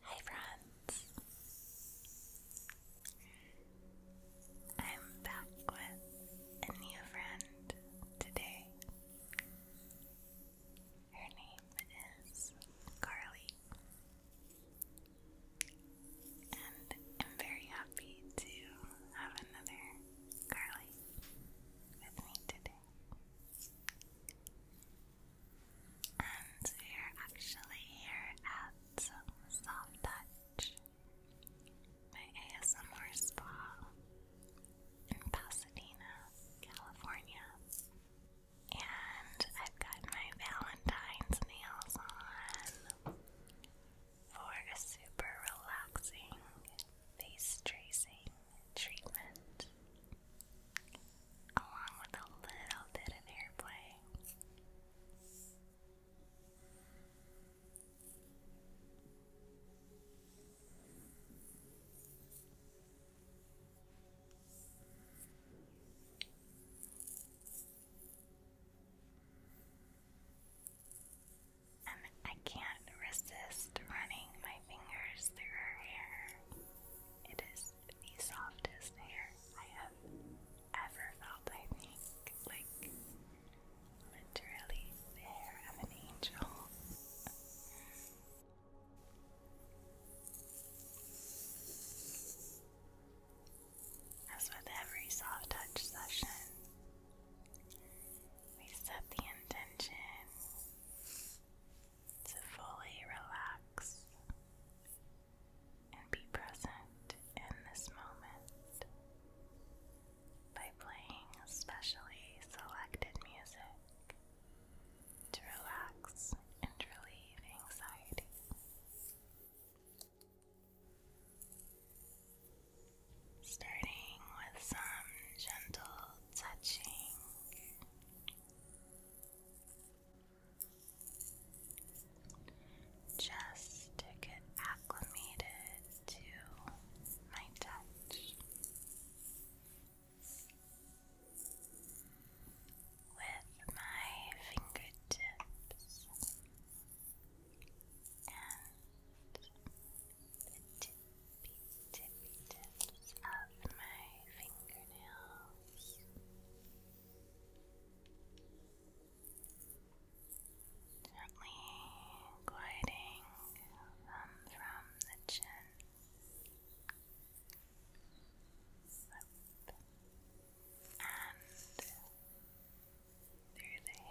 Hi friends! I'm back with a new friend today. Her name is Carly. And I'm very happy to have another Carly with me today. And we're actually here at Soft Touch, my ASMR spa in Pasadena, California. And I've got my Valentine's nails on for a super relaxing face tracing treatment along with a little bit of airplay. And I can't resist running my fingers through her hair. It is the softest hair I have ever felt, I think. Like, literally, the hair of an angel. As with every soft touch session, we set the intention to fully relax and be present in this moment by playing specially selected music to relax and relieve anxiety. Starting with some gentle touching just to get acclimated to my touch. With my fingertips and the tippy tippy tips of my fingernails walls. Gently gliding from the chin up and through the hair.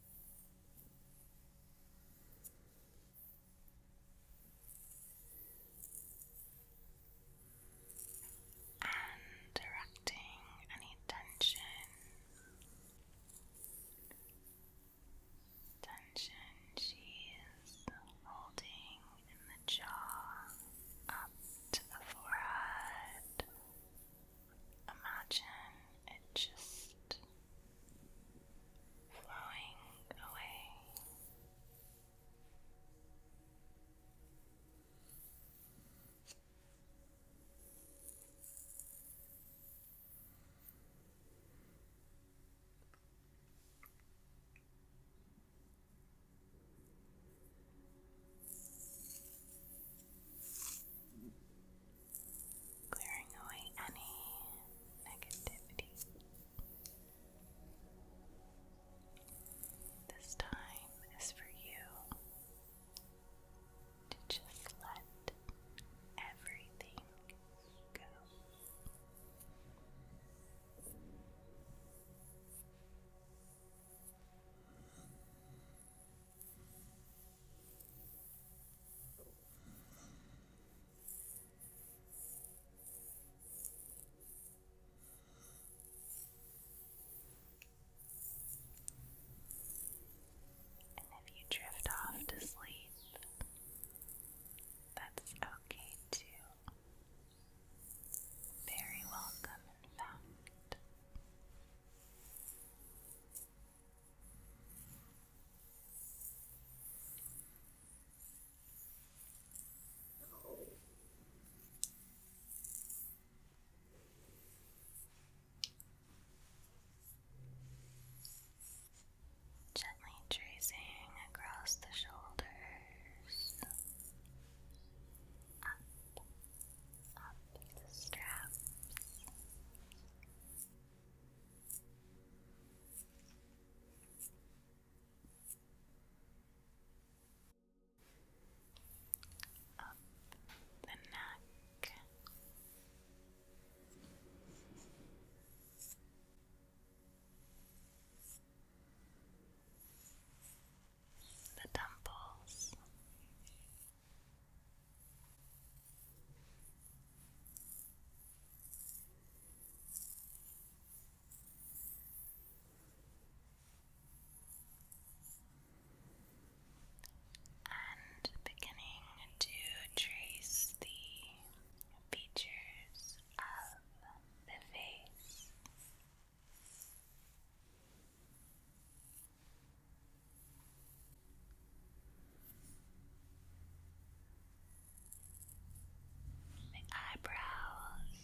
and directing any tension, tension she is holding in the jaw up to the forehead. Imagine it just flowing away clearing away any negativity. This time is for you to just let everything go. And if you drift off to sleep, that's okay too. Very welcome, in fact. Gently tracing across the shoulders, up up the straps. Up the neck. The temples, and beginning to trace the features of the face the eyebrows.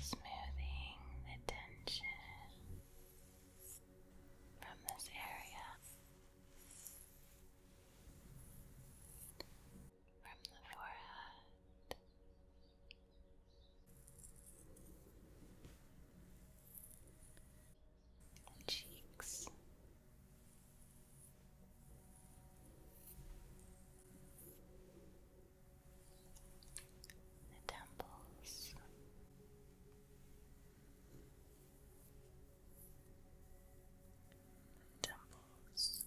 Smoothing the tension from this area, from the forehead cheeks. The temples, temples,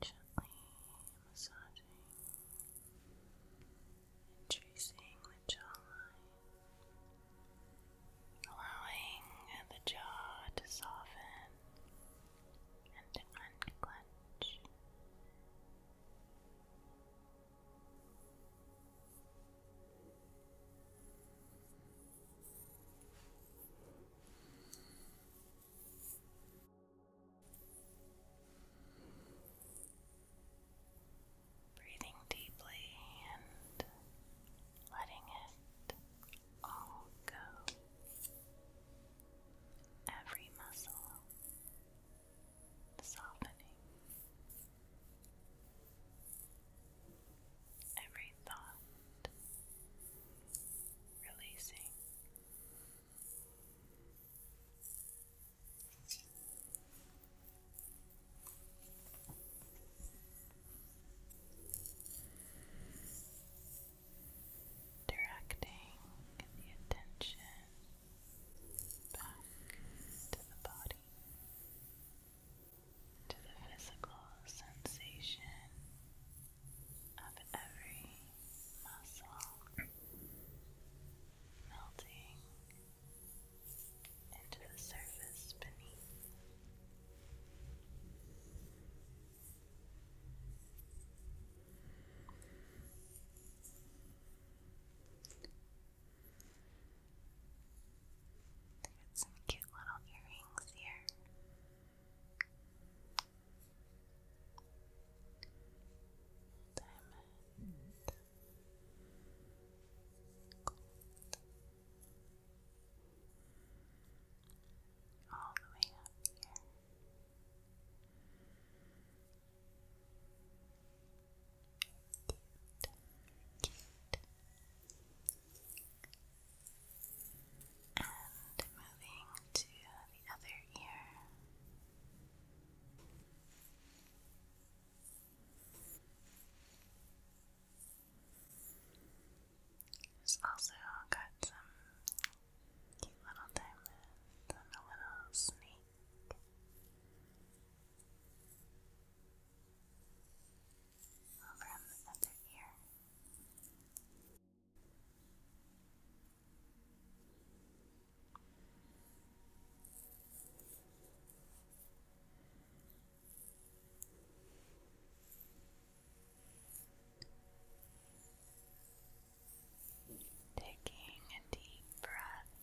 Gently massaging tracing the jawline, allowing the jaw to soften and to unclench. Breathing deeply and letting it all go. Every muscle softening. Every thought releasing. Directing the attention back to the body, to the physical sensation of every muscle melting into the surface beneath. Got some cute little earrings here. Diamond. Gold. All the way up here. And moving to the other ear. It's also got some cute little diamonds and a little snake. Over the other ear. Taking a deep breath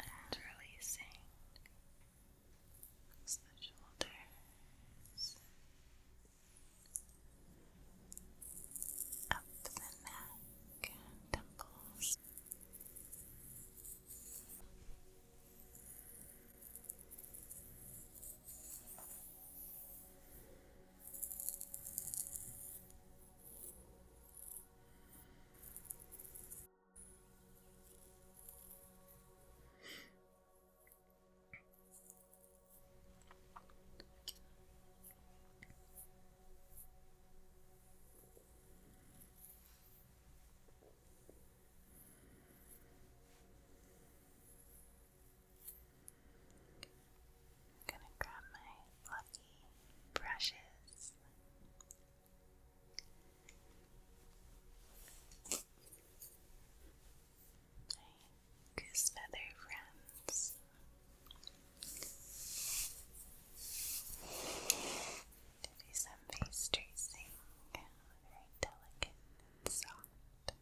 and releasing Relax the shoulders. Up the neck temples. I'm gonna grab my fluffy brushes. Goose feather friends. do some face tracing, very delicate soft.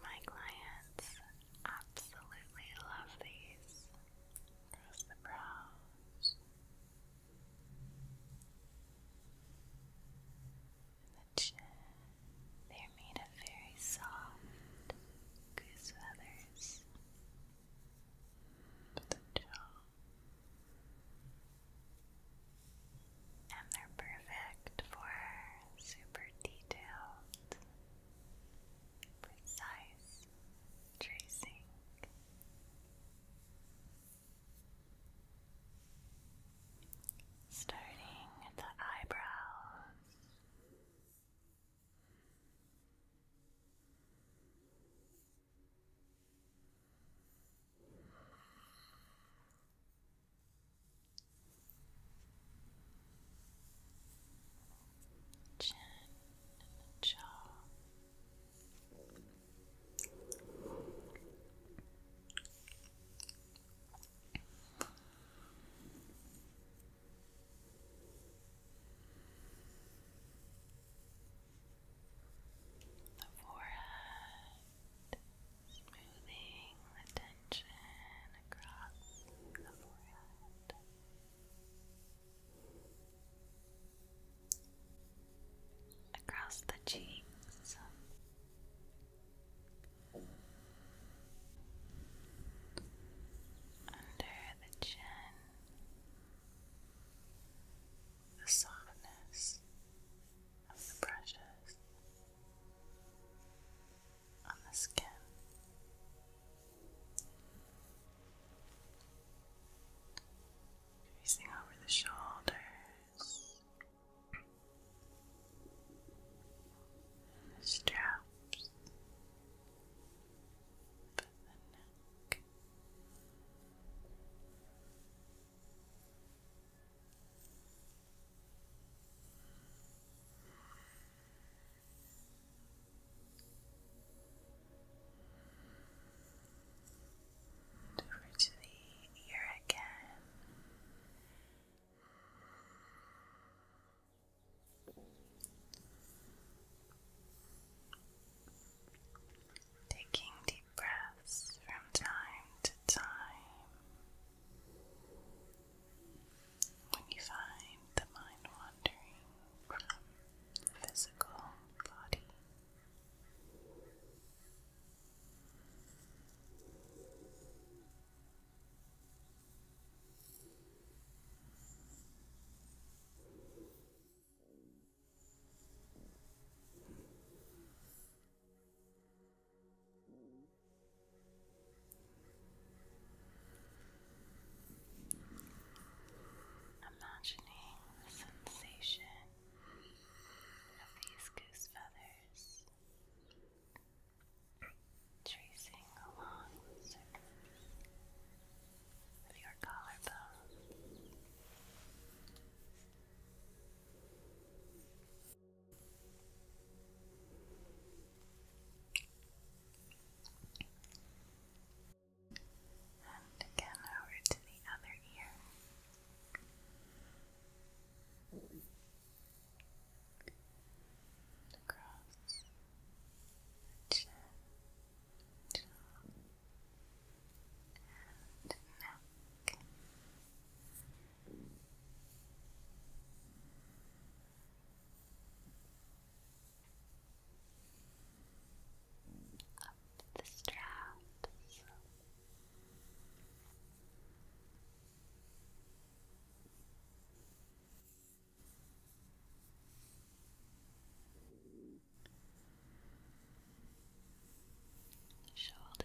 My clients absolutely love these. Across the brows the chin. They're made of very soft goose feathers. Mm, the jaw. And they're perfect for super detailed, precise tracing. Starting the eyebrows, chin and jaw. The forehead, smoothing the tension across the forehead across the cheeks. Under the chin, the softness of the brushes on the skin, Tracing over the shoulders the straps up the neck. And over to the ear again. Taking deep breaths from time to time. When you find the mind wandering from the physical body, Imagining the sensation of these goose feathers tracing along the surface of your collarbone. And again over to the other ear. across the chin, jaw, and neck up the straps. Shoulder.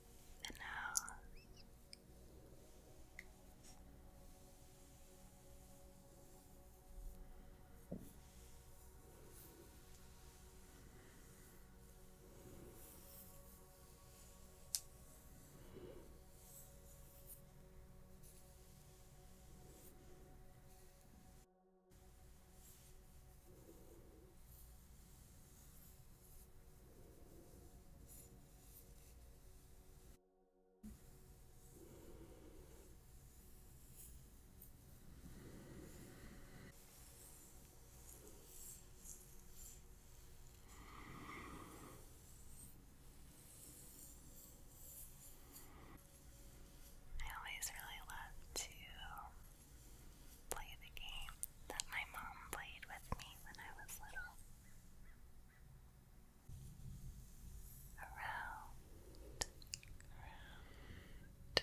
the nose. Your I always really love to play the game that my mom played with me when I was little. Around, around,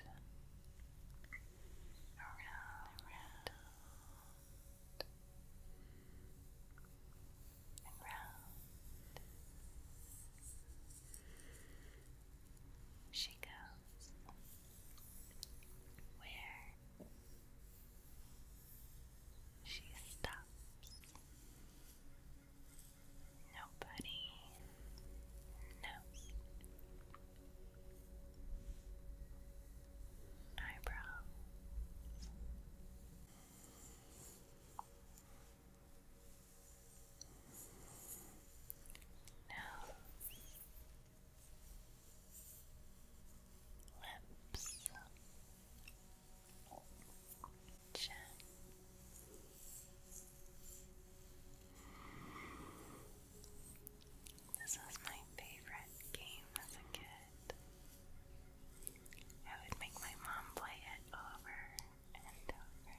around, around, and round. She goes where she stops. Nobody knows. Eyebrows. Nose lips, chin. This was my favorite game as a kid. I would make my mom play it over and over.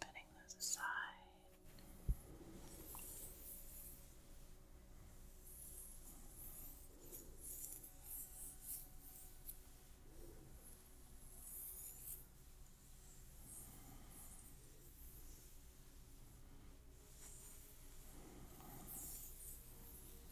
Putting those aside.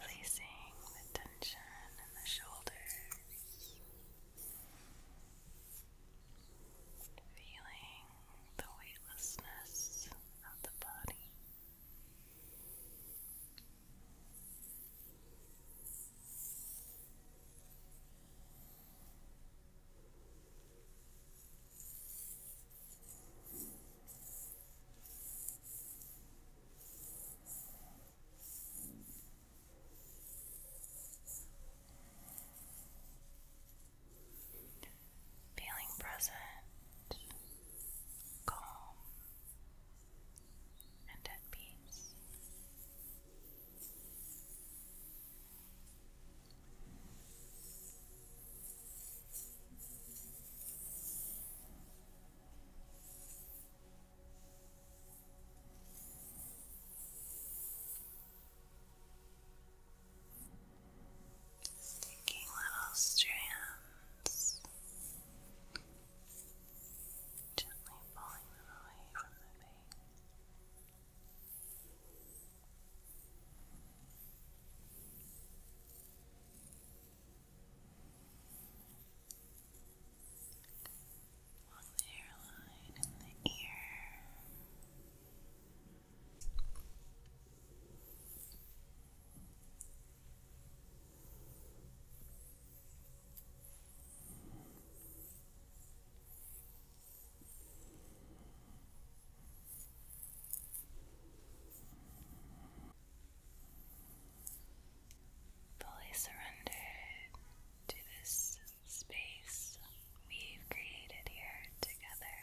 Releasing the tension in the shoulders, feeling the weightlessness of the body. Feeling present, calm, and at peace. Sticking little strands gently pulling them away from the pain. Along the hairline and the ear. Fully surrendered to this space we've created here together.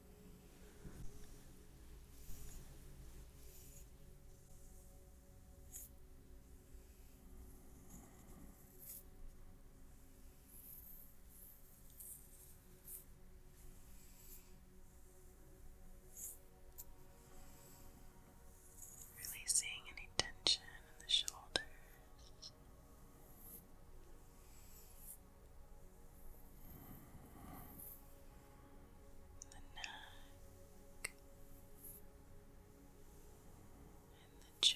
Releasing any tension in the shoulders the neck and the jaw.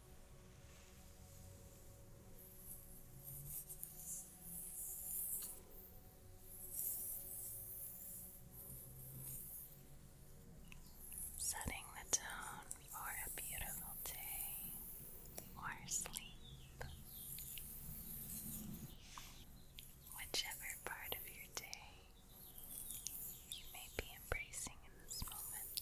Setting the tone for a beautiful day or sleep, whichever part of your day you may be embracing in this moment.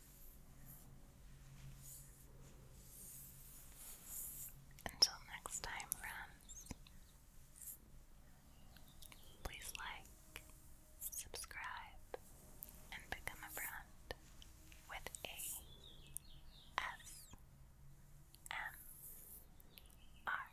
Until next time, friends, please like, subscribe, and become a friend with a S M R.